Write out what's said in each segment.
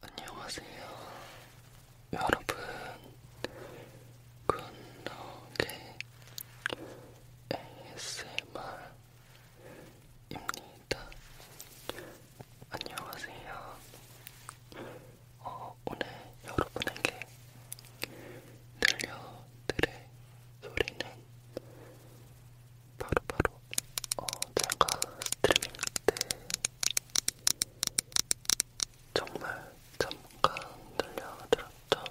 안녕하세요. 여러분, 굿노게 ASMR입니다. 안녕하세요. 어, 오늘 여러분에게 들려드릴 소리는 바로바로 바로 어, 제가 스트리밍 때 정말 잠깐 들려드렸던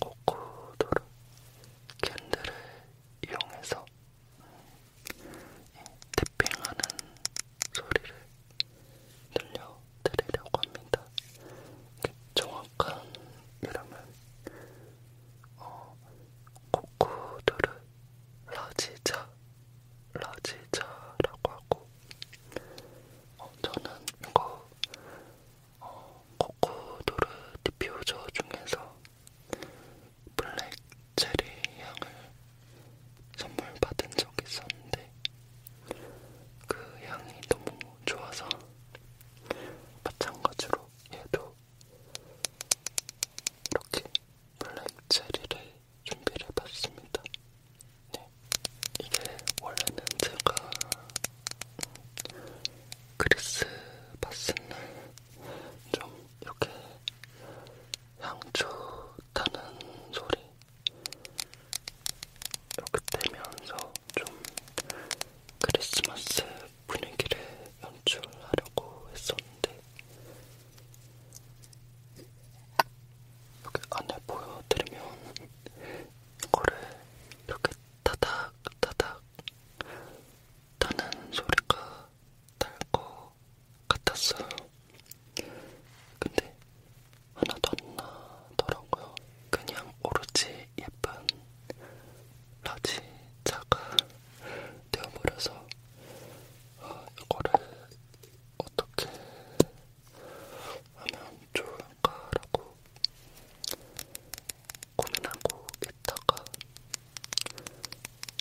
이거 코코도르 캔들을 이용해서 태핑하는 소리를 들려드리려고 합니다. 정확한 이름은 어, 코쿠르 라지자 라지자라고 하고 어, 저는 이거 어, 코쿠르 디퓨저 중에서 블랙 체리 향을 선물 받은 적이 있었는데 그 향이 너무 좋아서 마찬가지로 얘도 이렇게 블랙 체리를 준비를 해봤습니다. 네. 이게 원래는 제가 크리스마스 날좀 이렇게 향초 타는 소리 이렇게 되면서 좀 크리스마스 분위기를 연출하려고 했었는데 여기 안에 보여드리면 이거를 이렇게 타닥 타닥 타는 소리가 날것 것 같았어요. 근데 하나도 안 나더라고요. 그냥 오로지 예쁜 라지차가 되어버려서 아, 이거를 어떻게 하면 좋을까라고 고민하고 있다가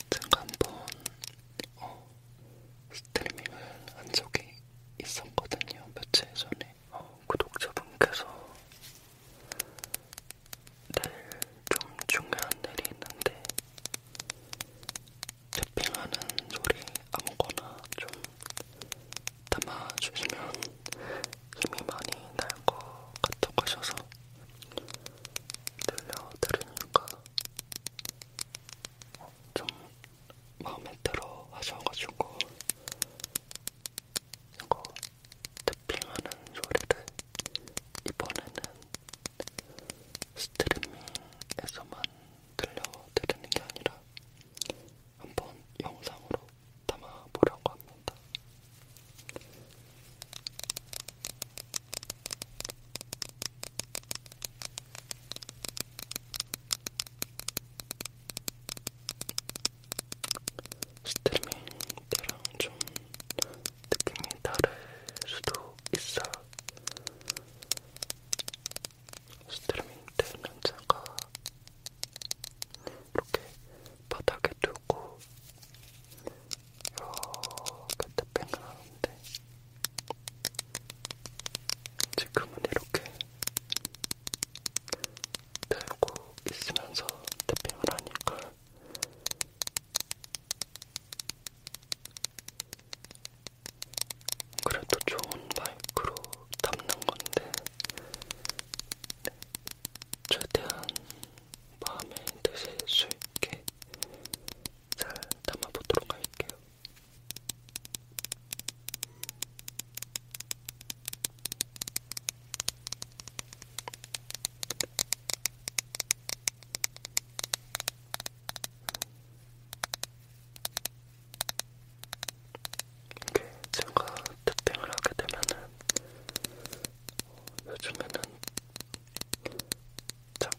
제가 한번 어, 스트리밍을 한 적이 있었거든요. 며칠 전에 어, 구독자분께서 내일 좀 중요한 일이 있는데 탭핑하는 소리 아무거나 좀 담아주시면 힘이 많이 날 것 같다고 하셔서 들려드리니까 좀 마음에 들어 하셔가지고 이거 탭핑하는 소리를 이번에는 스트리밍에서만 들려드리는 게 아니라 한번 영상으로 담아보려고 합니다. 스트리밍 때랑 좀 느낌이 다를 수도 있어요. 스트리밍 때는 제가 이렇게 바닥에 두고 이렇게 탭핑을 하는데 지금은 이렇게 들고 있으면서 탭핑을 하니까 그래도 좋은 마이크로 담는 건데 네, 최대한 마음에 드실 수 있게 잘 담아보도록 할게요. 이게 제가 탭핑을 하게 되면은 어, 요즘에는 장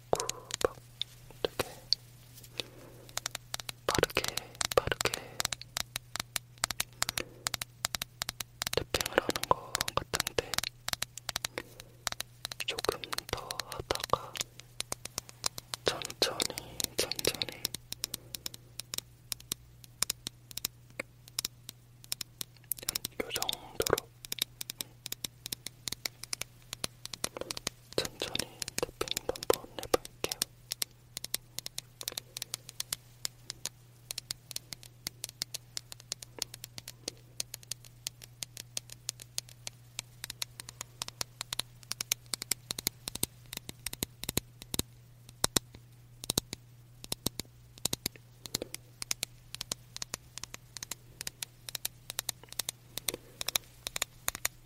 자꾸 막 되게 빠르게 빠르게 탭핑을 하는 것 같은데 조금 더 하다가 천천히 천천히 요 정도로 천천히 탭핑도 한번 해볼게요.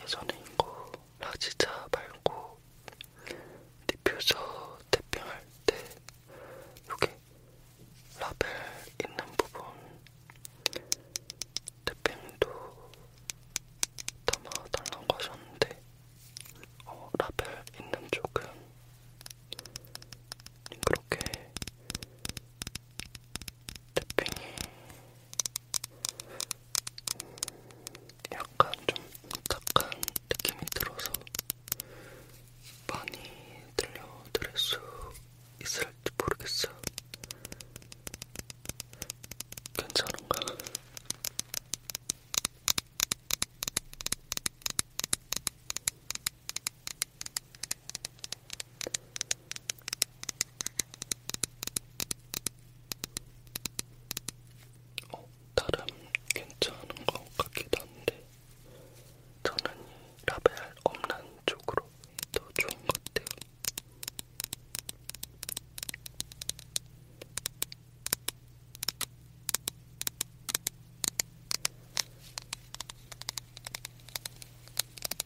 예전에 이거 락지자 말고 디퓨저 탭핑할 때 여기 라벨 있는 부분 탭핑도 담아달라고 하셨는데 어, 라벨 있는 쪽은 그렇게 태핑이 약간 좀 딱한 느낌이 들어서 많이 들려드릴 수 있을지 모르겠어요. 괜찮은가? 어, 다른 괜찮은 것 같기도 한데 저는 이 라벨 없는 쪽으로 더 좋은 것 같아요.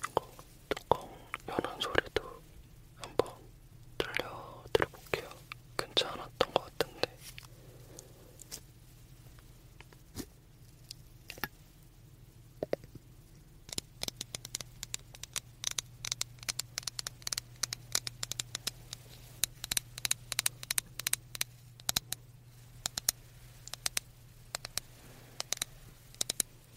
이거 뚜껑 여는 소리도 한번 들려드려볼게요. 괜찮았던 것 같은데.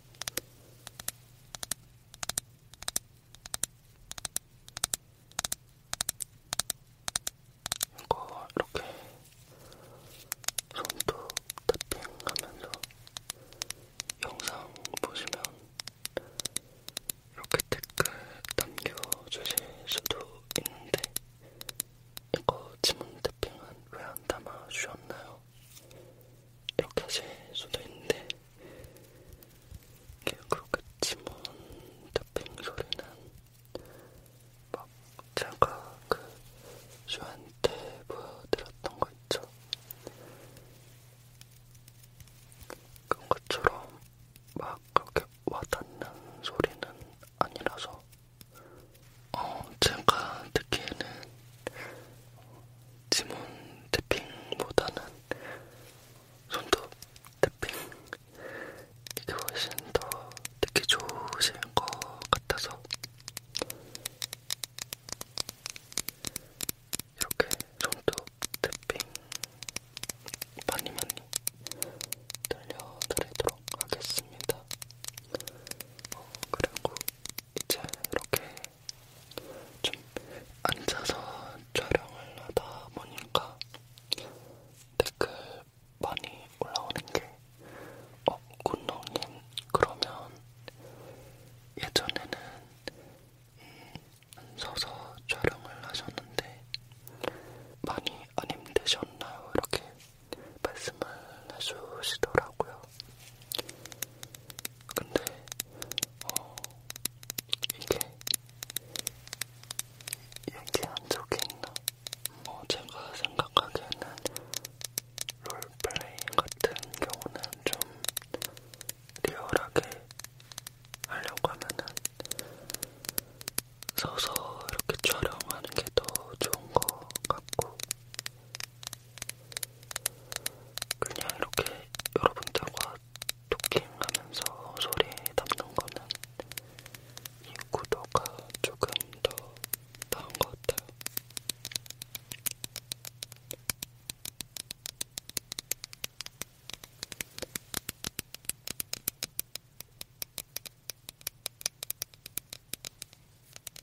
이거 이렇게 손톱 탭핑하면서 영상 보시면 이렇게 댓글 남겨주실 수도 있는데 이거 지문 탭핑은 왜 안 담아주셨나요? 이렇게 하실 수도 있는데 그렇게 지문 덮인 소리는 막 제가 그 슈한테 보여드렸던 거 있죠? 그런 것처럼 막 그렇게 와닿는 소리는 아니라서 어, 제가 듣기에는 지문 태핑보다는 손톱 태핑 이게 훨씬 더 듣기 좋으신 것 같아서 이렇게 손톱 태핑 많이 많이 들려드리도록 하겠습니다. 어, 그리고 이제 이렇게 좀 앉아서 촬영을 하다 보니까 댓글 많이 올라오는 게 어, 군농님 그러면 예전에는 음, 서서 촬영을 하셨는데 많이 안 힘드셨나요? 이렇게 말씀을 해주시더라고요. 근데 어, 이게 얘기한 적이 있나? 어, 제가 생각하기에는 롤플레이 같은 경우는 좀 리얼하게 하려고 하면은 서서 이렇게 촬영하는 게 더 좋은 것 같고 그냥 이렇게 여러분들과 토킹하면서 소리 담는 거는 이 구도가 조금 더 나은 것 같아요.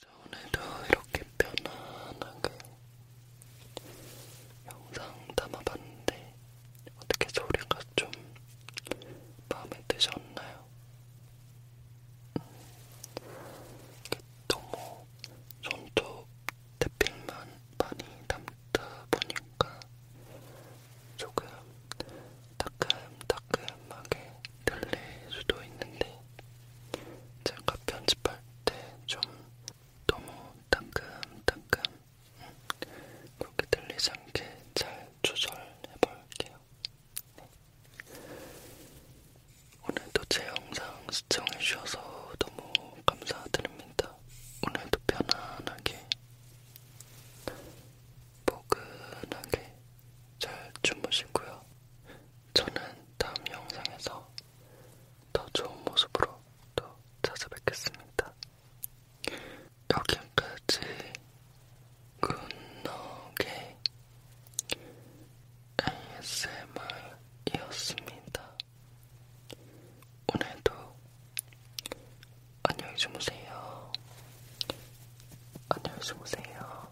자, 오늘도 이렇게 편안하게 영상 담아봤는데 어떻게 소리가 좀 마음에 드셨나요? 너무 손톱 태핑만 많이 담다 보니까 조금 따끔따끔하게 들릴 수도 있는데 제가 편집할 때 좀 너무 따끔따끔 그렇게 들리지 않게 잘 조절해볼게요. 네. 오늘도 제 영상 시청해주셔서 너무 감사드립니다. 오늘도 편안하게, 포근하게 잘 주무시고요. 저는 다음 영상에서 더 좋은 모습으로 또 찾아뵙겠습니다. 여기까지 굿노게 ASMR이었습니다. 오늘도 안녕히 주무세요. 안녕히 주무세요.